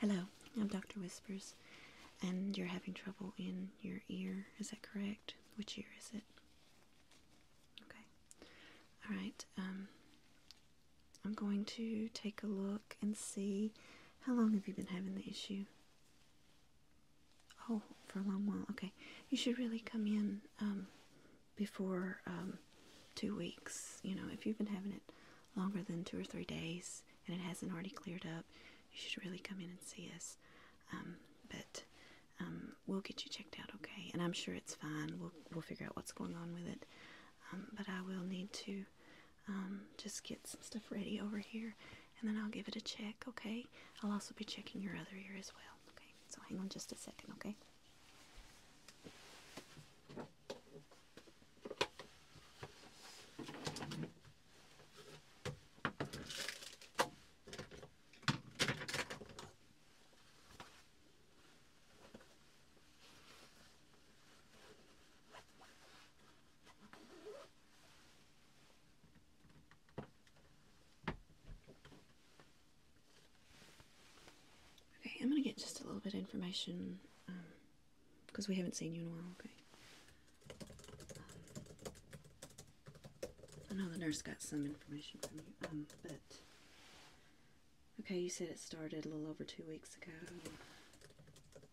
Hello, I'm Dr. Whispers, and you're having trouble in your ear. Is that correct? Which ear is it? Okay. All right. Um, I'm going to take a look and see how long have you been having the issue? Oh, for a long while. Okay. You should really come in um, before um, two weeks. You know, if you've been having it longer than two or three days, and it hasn't already cleared up, you should really come in and see us. Um, but um, we'll get you checked out, okay? And I'm sure it's fine. We'll we'll figure out what's going on with it. Um, but I will need to just get some stuff ready over here, and then I'll give it a check, okay? I'll also be checking your other ear as well, okay? So hang on just a second, okay? Okay, I'm going to get just a little bit of information um, because we haven't seen you in a while, okay? Um, I know the nurse got some information from you, um, but. Okay, you said it started a little over two weeks ago.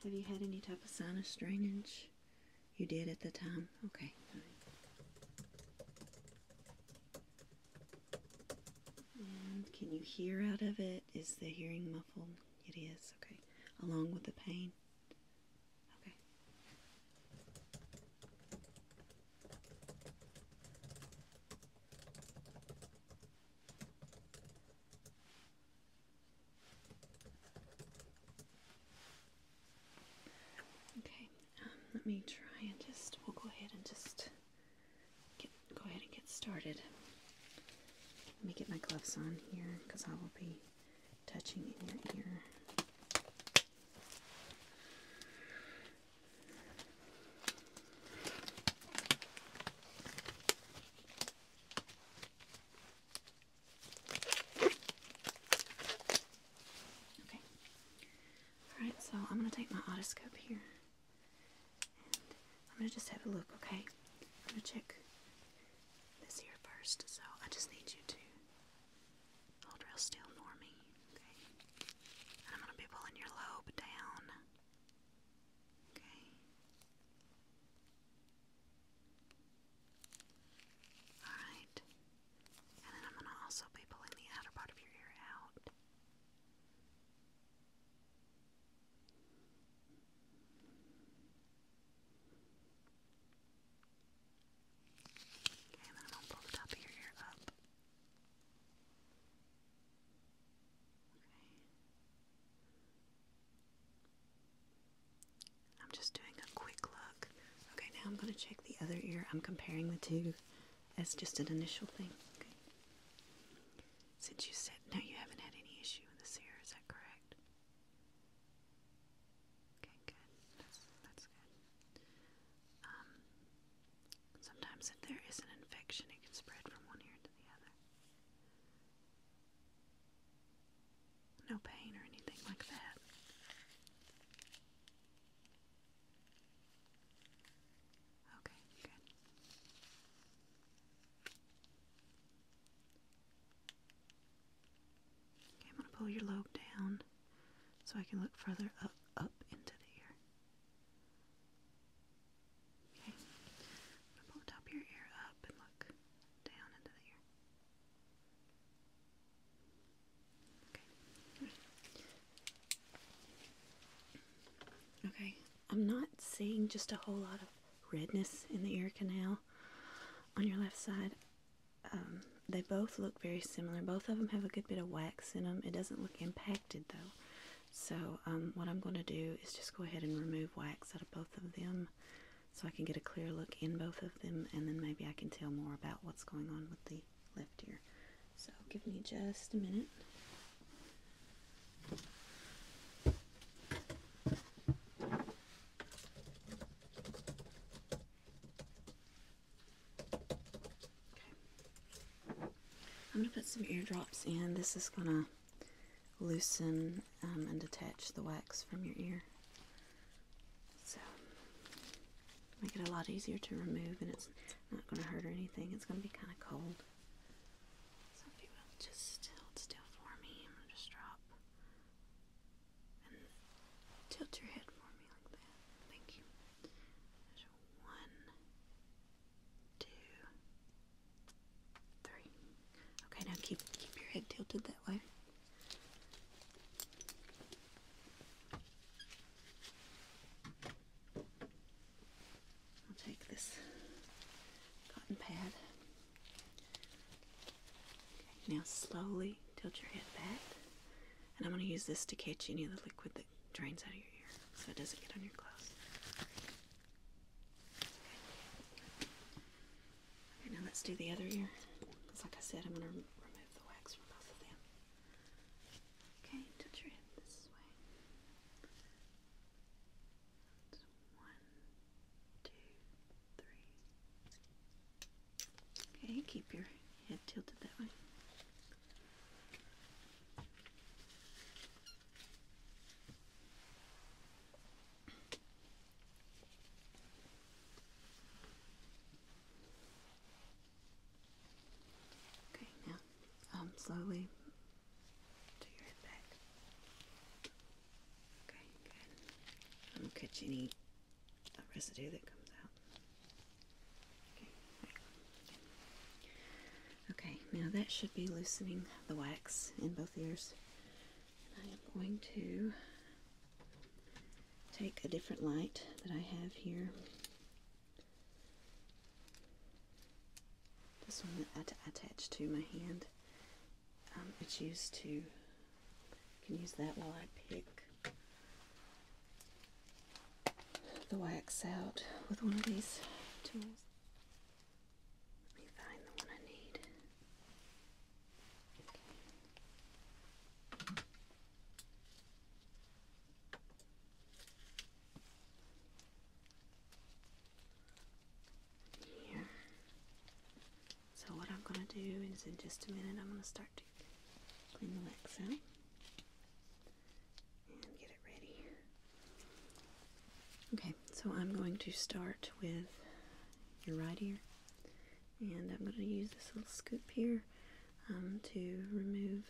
Have you had any type of sinus drainage? You did at the time? Okay. can you hear out of it? Is the hearing muffled? It is, okay. Along with the pain. Okay. Okay, um, let me try and just, we'll go ahead and just go ahead and get started. Let me get my gloves on here because I will be touching in your ear. Okay. Alright, so I'm going to take my otoscope here. I'm gonna just have a look, okay? I'm gonna check this here first, so I just need you to hold real still for me, okay? I'm gonna be pulling your lobe down, okay? Alright. And then I'm gonna also be pulling the outer part of your ear out. Okay, then I'm gonna pull the top of your ear up. Okay. I'm just doing a quick look. Okay, now I'm gonna check the other ear. I'm comparing the two as just an initial thing. Since you said no, you haven't had any issue in this year, is that correct? Okay, good. That's good. Um, sometimes if there is an infection, it can spread from one ear to the other. No pain or anything like that. Okay, good. Okay, I'm going to pull your lobe down so I can look further up, up into the ear. Okay, pull the top of your ear up and look down into the ear. Okay, I'm not seeing just a whole lot of redness in the ear canal on your left side. Um, they both look very similar. Both of them have a good bit of wax in them. It doesn't look impacted though. So um, what I'm going to do is just go ahead and remove wax out of both of them so I can get a clear look in both of them and then maybe I can tell more about what's going on with the left ear. So give me just a minute. I'm going to put some eardrops in. This is going to loosen um, and detach the wax from your ear. So, make it a lot easier to remove and it's not going to hurt or anything. It's going to be kind of cold. So will just hold still for me, I'm gonna just drop and tilt your head for me like that. Thank you. one, two, three. Okay, now keep keep your head tilted that way. I'll take this cotton pad. now slowly tilt your head back. And I'm going to use this to catch any of the liquid that drains out of your ear so it doesn't get on your clothes. now let's do the other ear. like I said, I'm going to remove the wax from both of them. Okay, tilt your head this way one, two, three. Okay, keep your head tilted that way. Okay, now um, slowly Okay, good. I'm catch any uh, residue that comes out. Okay, okay, now that should be loosening the wax in both ears. I am going to take a different light that I have here this one that I attach to my hand. Um, it's used to, I can use that while I pick the wax out with one of these tools. Let me find the one I need. Here. So what I'm going to do is in just a minute I'm going to start to clean the wax out and get it ready. Okay, so I'm going to start with your right ear and I'm going to use this little scoop here um, to remove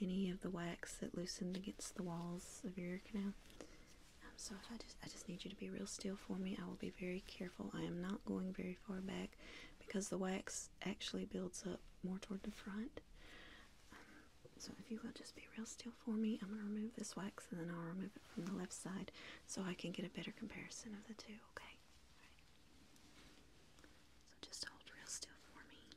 any of the wax that loosened against the walls of your ear canal. Um, so if I just, I just need you to be real still for me. I will be very careful. I am not going very far back because the wax actually builds up more toward the front. Um, so if you will just be real still for me, I'm going to remove this wax and then I'll remove it from the left side so I can get a better comparison of the two, okay? So just hold real still for me.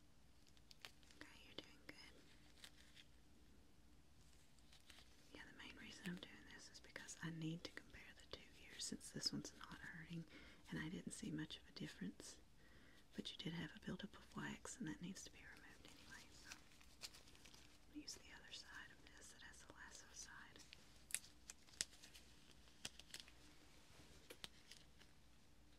Okay, you're doing good. Yeah, the main reason I'm doing this is because I need to compare the two years since this one's not hurting and I didn't see much of a difference. But you did have a buildup of wax and that needs to be removed anyway, so use the other side of this that has the lasso side.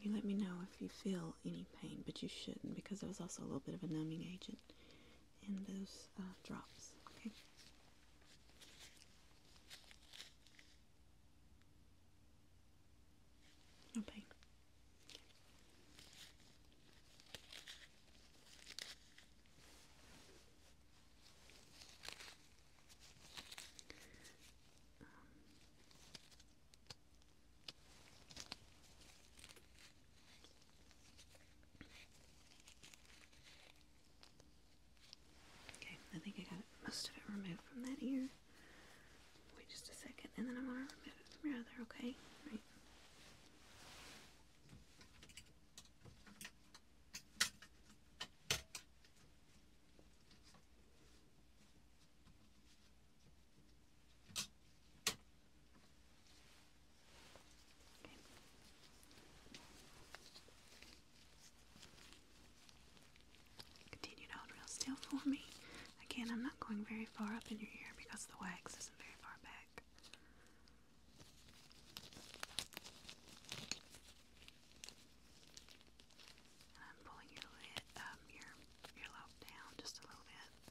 you let me know if you feel any pain, but you shouldn't because there was also a little bit of a numbing agent in those uh, drops. Okay. No pain. Okay, I think I got most of it removed from that ear. Wait just a second, and then I want to remove it from your other, okay? Continue to hold real still for me. Again, I'm not going very far up in your ear because the wax isn't very far back. I'm pulling your lid, um, your earlobe down just a little bit.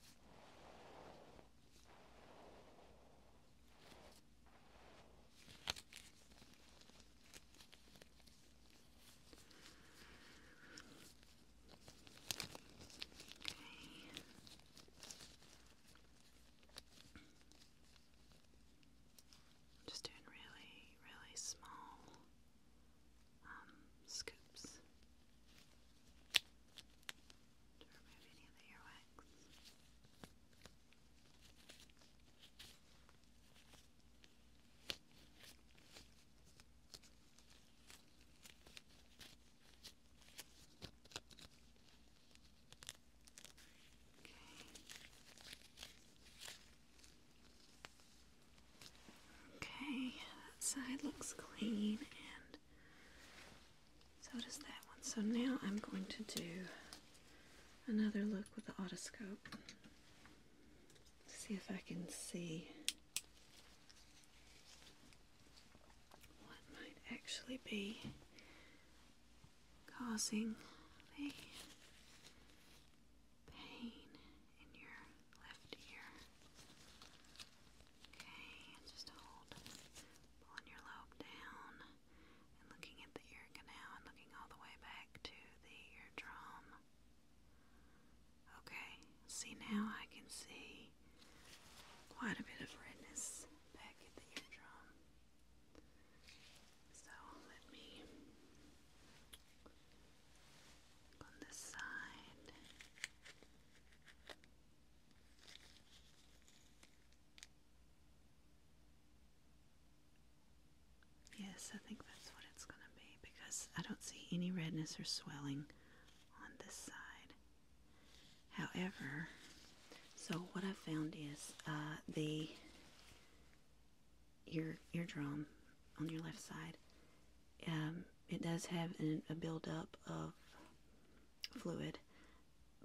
Okay. Just doing really, really small um, scoops to remove any of the earwax. Okay. Okay, that side looks clean and so does that one. So now I'm going to do another look with the otoscope. See if I can see what might actually be causing the pain in your left ear. Okay, just hold, pulling your lobe down and looking at the ear canal and looking all the way back to the eardrum. Okay, see now I can see quite a bit of redness back at the eardrum. So let me on this side. Yes, I think that's what it's going to be because I don't see any redness or swelling on this side. However, so what I found is uh, the your eardrum on your left side. Um, it does have a buildup of fluid,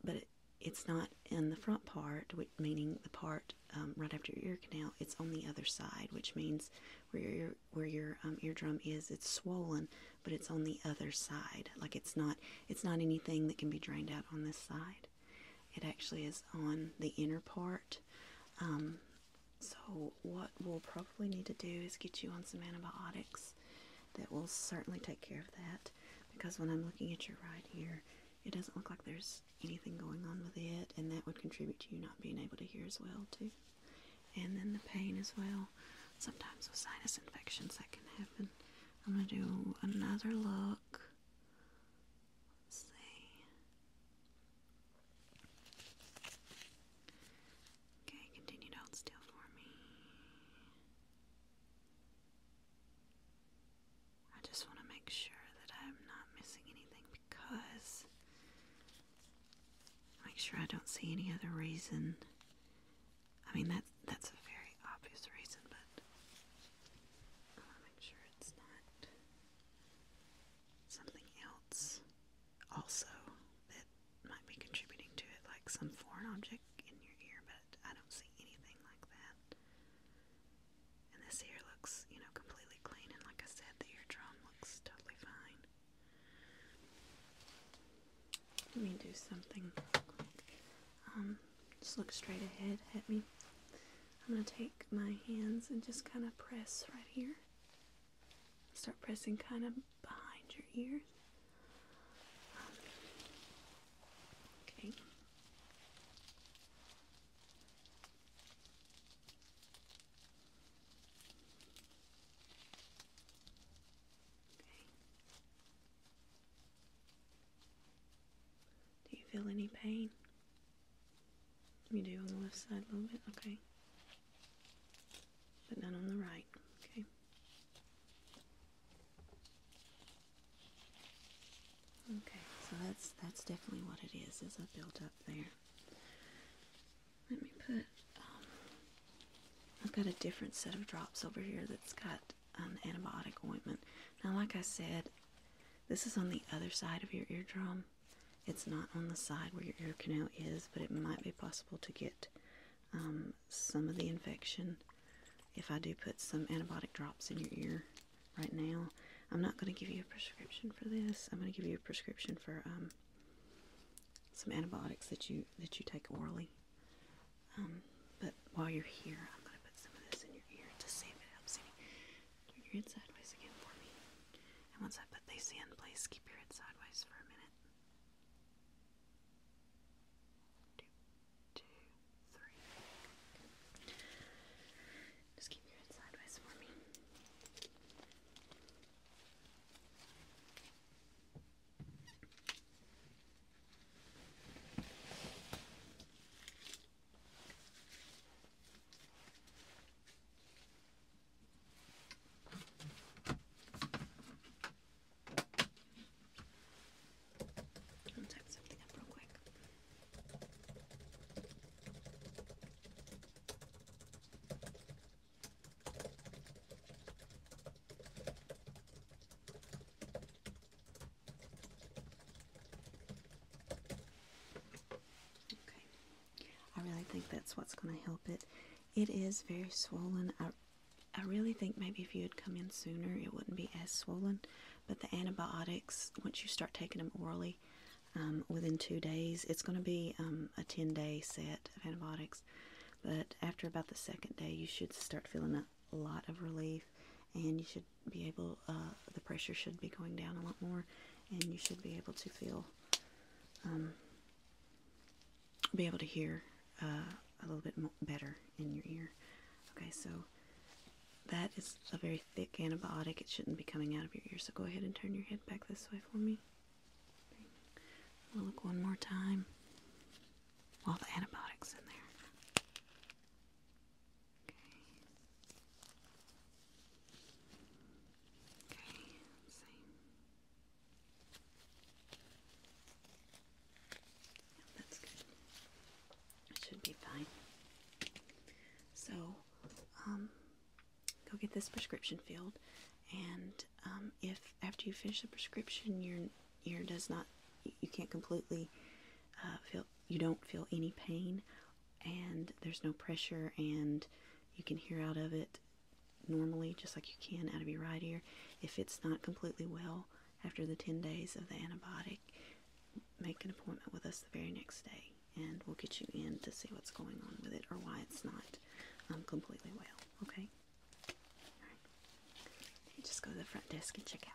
but it's not in the front part, meaning the part um, right after your ear canal. It's on the other side, which means where your um, eardrum is, it's swollen, but it's on the other side. Like it's not it's not anything that can be drained out on this side. It actually is on the inner part. So what we'll probably need to do is get you on some antibiotics that will certainly take care of that because when I'm looking at your right ear, it doesn't look like there's anything going on with it and that would contribute to you not being able to hear as well too. And then the pain as well. Sometimes with sinus infections that can happen. I'm going to do another look let Okay, continue to hold still for me. I just want to make sure that I'm not missing anything because make sure I don't see any other reason. I mean that that's a very obvious reason, but I want to make sure it's not something else also that might be contributing to it, like some foreign object in your ear, but I don't see anything like that. And this ear looks, you know, completely clean, and like I said, the eardrum looks totally fine. Let me do something. Um, just look straight ahead at me. I'm going to take my hands and just kind of press right here. Start pressing kind of behind your ear. okay. Okay. Do you feel any pain? Let me do on the left side a little bit, okay. But none on the right, okay. Okay, so that's that's definitely what it is, is a build up there. Let me put um, I've got a different set of drops over here that's got an um, antibiotic ointment. Now like I said, this is on the other side of your eardrum. It's not on the side where your ear canal is, but it might be possible to get um, some of the infection if I do put some antibiotic drops in your ear right now. I'm not going to give you a prescription for this. I'm going to give you a prescription for um, some antibiotics that you that you take orally. Um, but while you're here, I'm going to put some of this in your ear to see if it helps any. Keep your head sideways again for me. And once I put these in place, keep your head sideways for a minute. Two, two, three. Good. Just keep your head sideways for me. I'll type something up real quick. Okay. I really think that's what's going to help it. It is very swollen. I, I really think maybe if you had come in sooner, it wouldn't be as swollen. But the antibiotics, once you start taking them orally, um, within two days, it's going to be um, a 10 day set of antibiotics. But after about the second day, you should start feeling a lot of relief and you should be able, uh, the pressure should be going down a lot more, and you should be able to feel, um, be able to hear uh, a little bit better in your ear. Okay, so that is a very thick antibiotic. It shouldn't be coming out of your ear, so go ahead and turn your head back this way for me. We'll look one more time. All the antibiotics in there. Okay, let's that's good. should be fine. So, um, go get this prescription filled, and um, if after you finish the prescription, your ear does not, you can't completely uh, feel, you don't feel any pain and there's no pressure, and you can hear out of it normally, just like you can out of your right ear. If it's not completely well after the 10 days of the antibiotic, make an appointment with us the very next day, and we'll get you in to see what's going on with it or why it's not um, completely well. Okay? just go to the front desk and check out.